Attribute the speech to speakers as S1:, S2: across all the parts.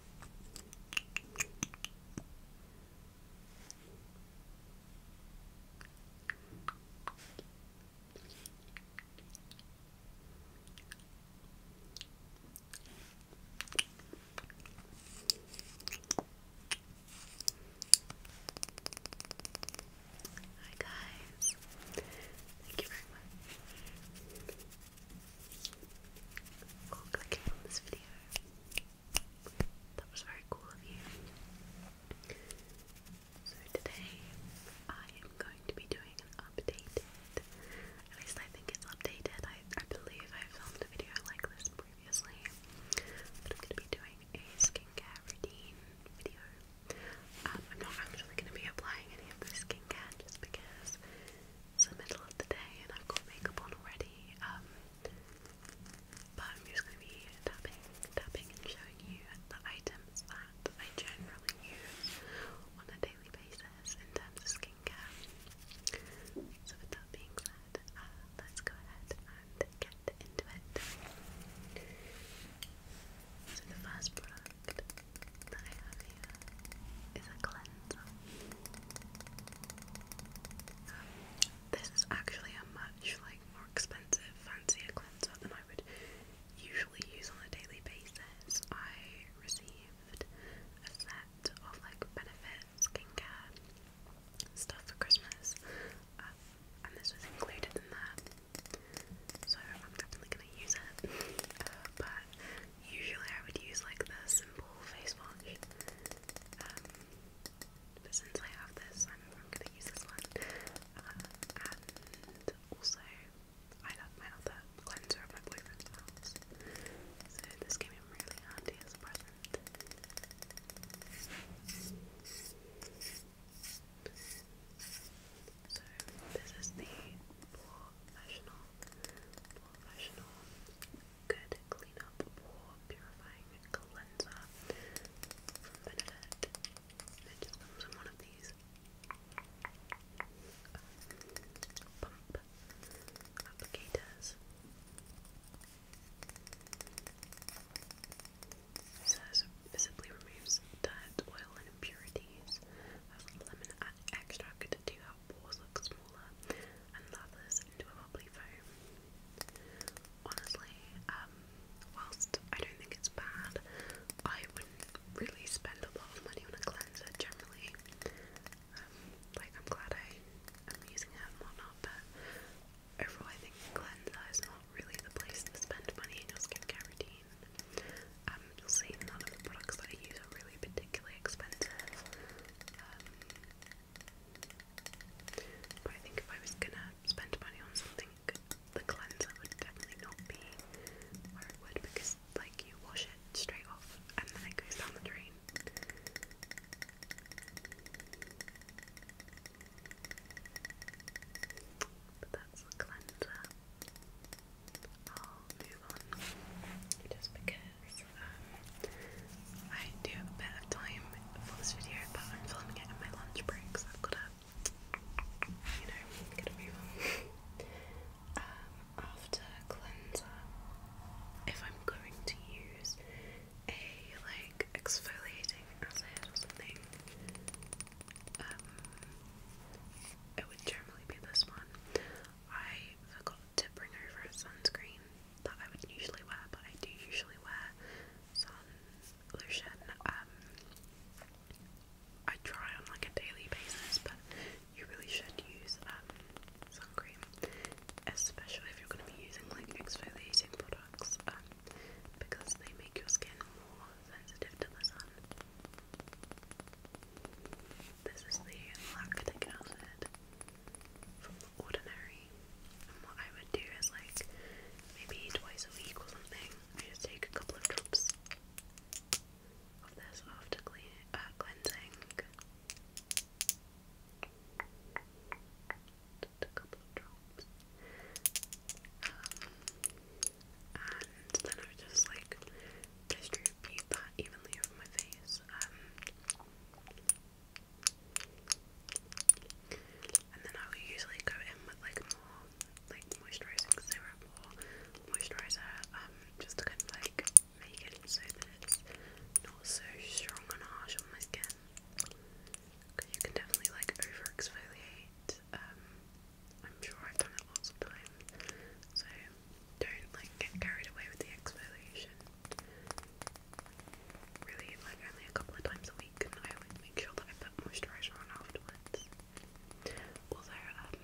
S1: Hi guys, thank you very much for clicking on this video. That was very cool of you. So today I am going to be doing an updated, at least I think it's updated. I, believe I filmed a video like this previously. But I'm going to be doing a skincare routine video. Um, I'm not actually going to be applying any of the skincare just because it's the middle of the day and I've got makeup on already, um, but I'm just going to be tapping, tapping and showing you the items that I generally use on a daily basis in terms of skincare. So with being said, uh, let's go ahead and get into it. So the first product that I a cleanser. Um, this is actually a much like more expensive, fancier cleanser than I would usually use on a daily basis. I received a set of like benefit skincare stuff for Christmas, um, and this was included in that, so I'm definitely gonna use it. Uh, but Usually I would use like the simple face wash, um, but since I have this, I'm, going to use this one. Uh, and also, I love my other cleanser of my boyfriend's so this came in really handy as a so this is the professional, professional good cleanup pore purifying cleanser from Benedette. It comes in one of these pump applicators. It says removes dirt, oil, and impurities, as lemon extract to help pores look smaller and lathers into a bubbly foam. Honestly, um, whilst I don't think it's bad, I wouldn't really spend a lot of money on a cleanser generally. Um, like, I'm glad I am using it and whatnot, but overall, I think cleanser is not really the place to spend money in your skincare routine. Um, you'll see none of the products that I use are really particularly expensive. Um, but I think if I was gonna spend money on something, the cleanser would definitely not be where it would because, like, you wash it straight off and then it goes down the drain. But that's the cleanser i just because um, I do have time for this video, but I'm filming it in my lunch break, so I've got to, you know, gotta move on. Um, after cleanser, if I'm going to use a like exfoliating acid or something, um, it would generally be this one. I forgot to bring over a sunscreen that I would usually wear, but I do usually wear sun lotion. Um, I try on like a daily basis, but you really should use um, sun cream, especially if you're going to be using like exfoliating products, um, because they make your skin more sensitive to the sun. This is the lactic acid from the ordinary. And what I would do is like maybe twice a week or something, just take a couple of drops of this after uh, cleansing. Just a couple of drops. Um, and then I would just like distribute that evenly over my face. Um, and then I would usually go in with like more like moisturising serum or moisturiser, um, just to kind of like make it so that it's not so strong and harsh on my skin. Because you can definitely like over exfoliate um, I'm sure I've done it lots of times, so don't like get carried away with the exfoliation. Really, like only a couple of times a week, and I always make sure that I put moisturizer on afterwards. Also, um,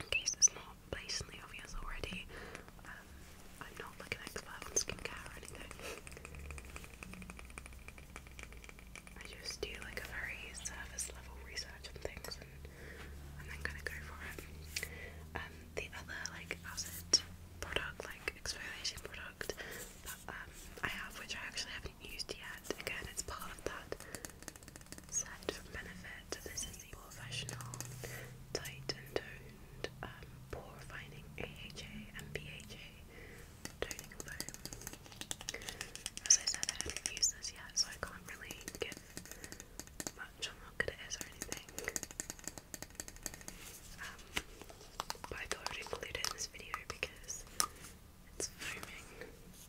S1: in case it's not blatantly obvious already, um, I'm not like an expert on skincare or anything. I just do like a very surface level research on things and then kind of go for it. Um, the other like acid product, like exfoliation product that um, I have, which I actually haven't used yet. Again, it's part of that set from Benefit. This is the Professional Tight and Toned um, Pore Refining AHA and BHA Toning Foam. As I said, haven't used this yet, so I can't really give much. I'm not good at um, include it in this video because it's foaming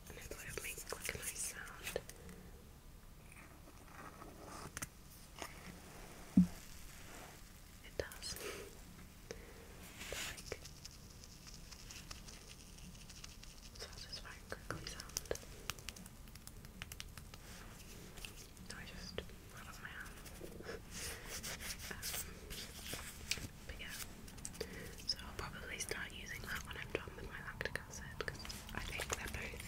S1: and I thought it make like a nice sound. It does. like, satisfying crinkly sound. No, I just rolled my hand. Um, but yeah, so I'll probably start using that when I'm done with my lactic acid because I think they're both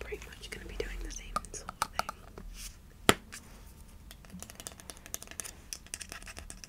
S1: pretty much going to be doing the same sort of thing.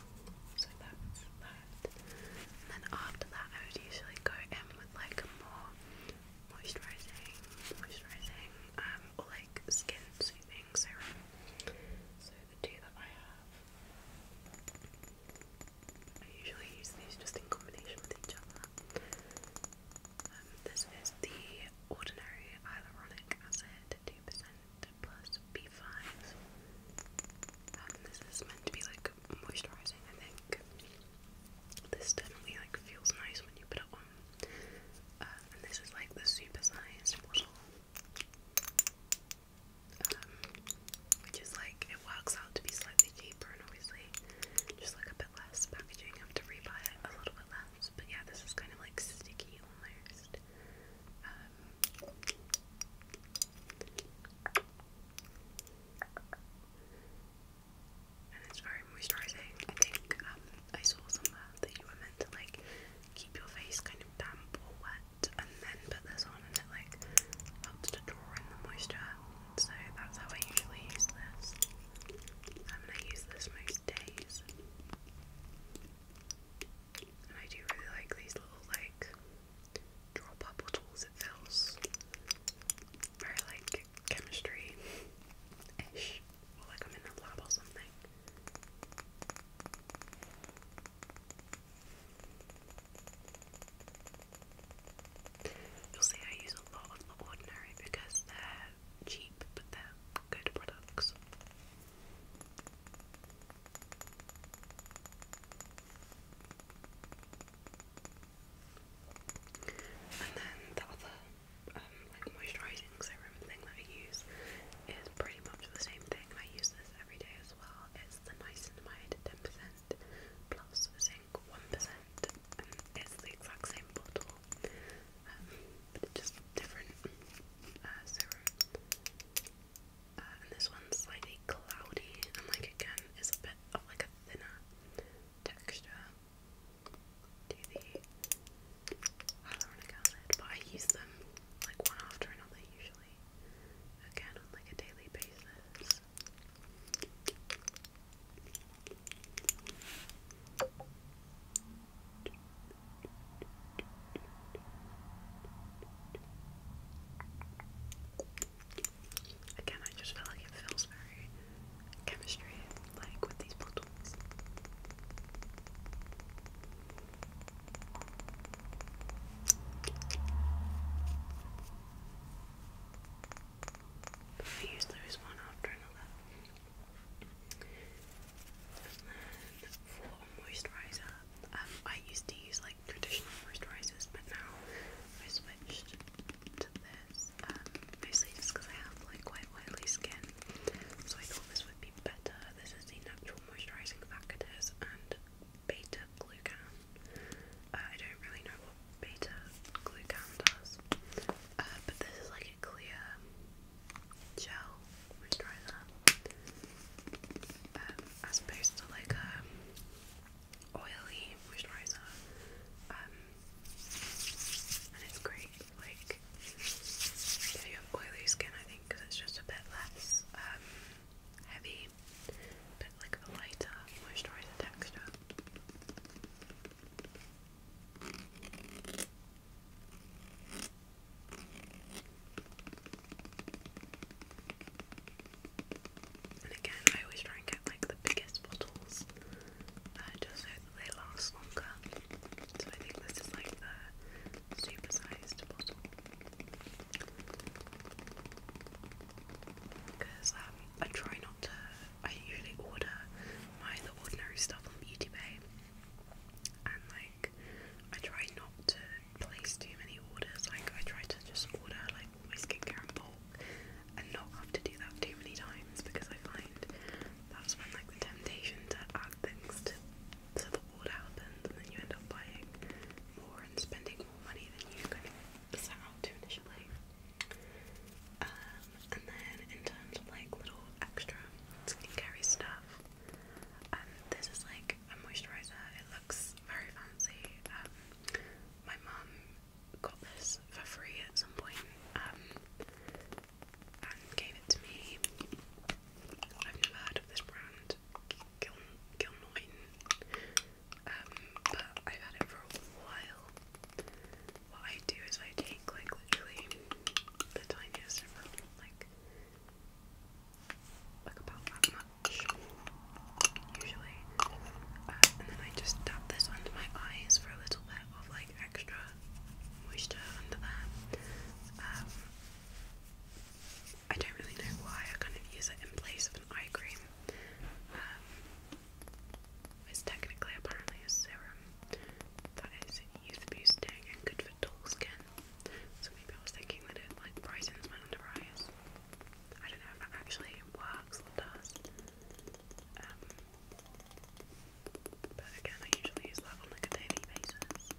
S1: So that that. And then after that I would usually go in with like a more moisturising, moisturising, um, or like skin soothing serum. So the two that I have I usually use these just in combination with each other. Um, this is the Ordinary Hyaluronic Acid to 2% plus B5s. Um, this is meant to be like moisturizing, I think. This definitely like feels nice when you put it on. Uh, and this is like the super sized bottle. Um, which is like, it works out to be slightly cheaper and obviously just like a bit less packaging. You have to rebuy it a little bit less. But yeah, this is kind of like sticky almost. Uh, and it's very moisturizing. I think um, I saw somewhere that you were meant to like keep your face kind of damp or wet, and then put this on, and it like helps to draw in the moisture. So that's how I usually use this. I'm gonna use this most days. I do really like these little like draw bubble tools. It feels very like chemistry ish, like I'm in a lab or something. You'll see I use a lot of the ordinary because they're cheap but they're good products. And then the other um, like moisturising serum thing that I use is pretty much the same thing. I use this every day as well. It's the niacinamide 10% plus zinc 1%. it's the exact same bottle, um, but it's just different uh, serum and this one's slightly cloudy and like again is a bit of like a thinner texture to the hyaluronic but I use them like one after another usually. Again on like a daily basis. Again, I just feel like it feels very chemistry like with these bottles. I used to one after another for moisturizer, um, I used to use like traditional moisturizers, but now I switched to this, um, just because I have like quite oily skin, so I thought this would be better. This is the Natural Moisturizing Factors and Beta Glucan. Uh, I don't really know what Beta Glucan does, uh, but this is like a clear gel. We um, as opposed to like a oily moisturizer. Um, and it's great, like if you have oily skin, I think, because it's just a bit less um, heavy, bit like a lighter moisturizer texture. And again, I always try and get like the biggest bottles uh, just so that they last longer. So I think this is like the supersized bottle. Because um, I try not to, I usually order my the ordinary stuff on Beauty Bay and I try not to place too many orders. Like I try to just order like all my skincare in bulk and not have to do that too many times because I find that's when like the temptation to add things to to the order happens and then you end up buying more and spending more money than you kind of set out to initially. Um, and then in terms of like little extra skincare stuff, um, this is like a moisturizer. It looks very fancy. Um, my mum got this for free at some um, and gave it to me. I've never heard of this brand, Gil Gilnoin, um, but I've had it for a while. What I do is I take like literally the tiniest of like like about that much usually. Uh, and then I just dab this under my eyes for a little bit of like extra moisture under there. Um, I don't really know why, I kind of use it in place of an eye cream. Um, it's technically apparently a serum that is youth boosting and good for dull skin. So maybe I was thinking that it like brightens my under eyes. I don't know if that actually works or does. Um, but again, I usually use that on a daily basis.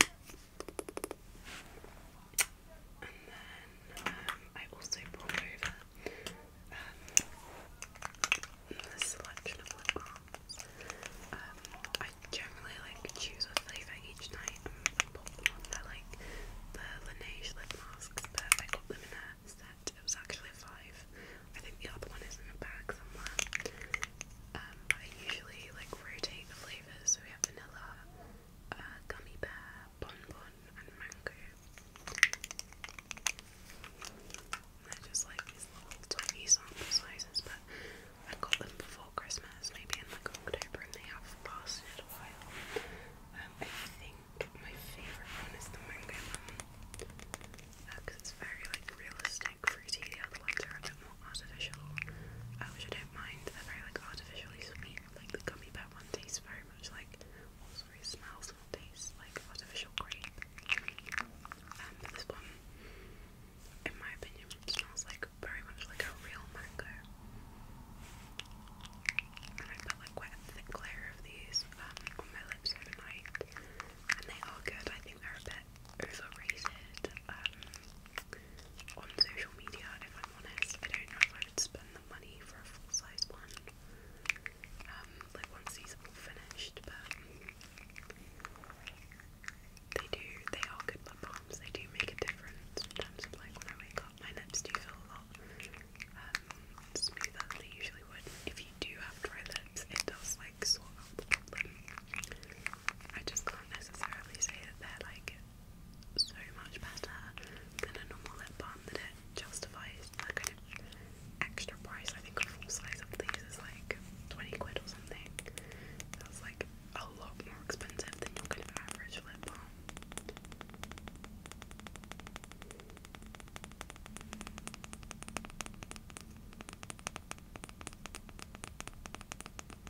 S1: And then um, I also brought over um, a selection of lip balms. Um, I generally like choose a flavour each night and pop them on. They're like the Laneige lip masks, but I got them in a set. It was actually a five. I think the other one is in a bag somewhere. I usually like rotate the flavours so we have vanilla, uh, gummy bear, bonbon, and mango. They're just like these little tiny sample sizes, but I got them before Christmas, maybe in like October, and they have lasted a while. Um, I think my favourite one is the mango one because uh, it's very like realistic snag fruity, the other ones are a bit more artificial, uh, which I don't mind, they're very like artificially sweet, like the gummy bear one tastes very much like, well oh, sorry, smells and tastes like artificial grape, um, but this one, in my opinion, smells like very much like a real mango, and I put like quite a thick layer of these um, on my lips overnight, and they are good, I think they're a bit overrated, um, on social media, if I'm honest. I don't know if I would spend the money for a full size one. Um, like once these are all finished, but they do, they are good lip balms. They do make a difference in terms of like when I wake up, my lips do feel a lot um, smoother than they usually would. If you do have dry lips, it does like sort out the problem. I just can't necessarily say that they're like so much better than a normal lip balm that it justifies the kind extra price. I think a full size of these is like 20 quid or something. That's like a lot more expensive than your average lip balm. And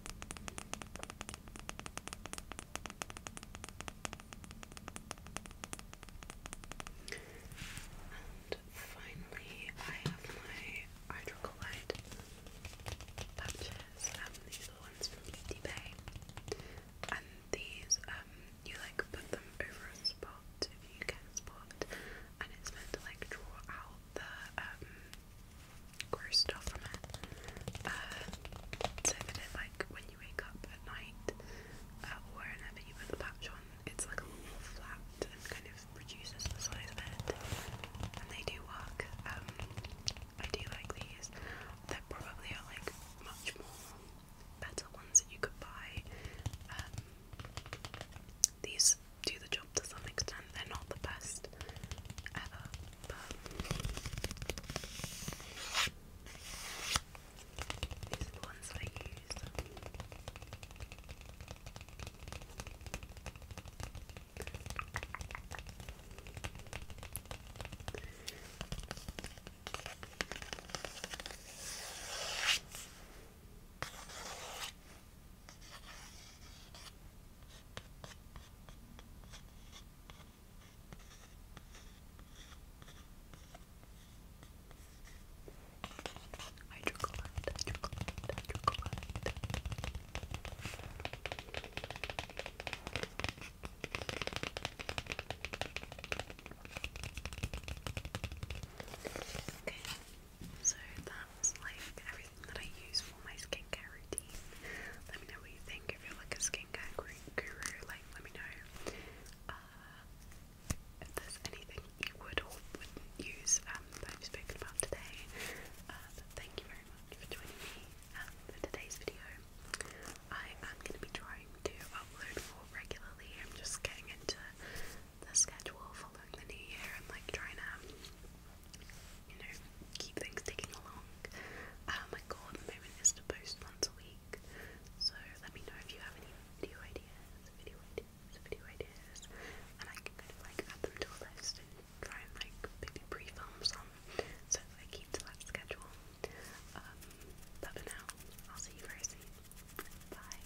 S1: finally, I have my hydrocolloid patches. these are the ones from Beauty And these, um, you like put them over a spot if you get a spot, and it's meant to like draw out the um, gross stuff from it. Uh, so that it like when you wake up at night uh, or whenever you put the patch on, it's like a little more flat and kind of reduces the size of it. And they do work. Um, I do like these. There probably are uh, like much more better ones that you could buy. Um, these videos do the job to some extent. They're not the best ever, but these ones I use. I chocolate, I chocolate, I chocolate. Okay. So that's like everything that I use for my skincare routine. Let me know what you think. If you're like a skincare guru, like let me know uh, if there's anything you would or wouldn't use um, that I've spoken about today. Uh, thank you very much for joining me um, for today's video. I am going to be trying to upload more regularly. I'm just getting into the schedule following the new year and like trying to you know, keep things ticking along. Uh, my goal at the moment is to post once a week, so let me know if you have any video ideas, video ideas, video ideas, and I can kind of like add them to a list and try and like maybe pre-film some so that I keep to that schedule. Um, but for now, I'll see you very soon. Bye.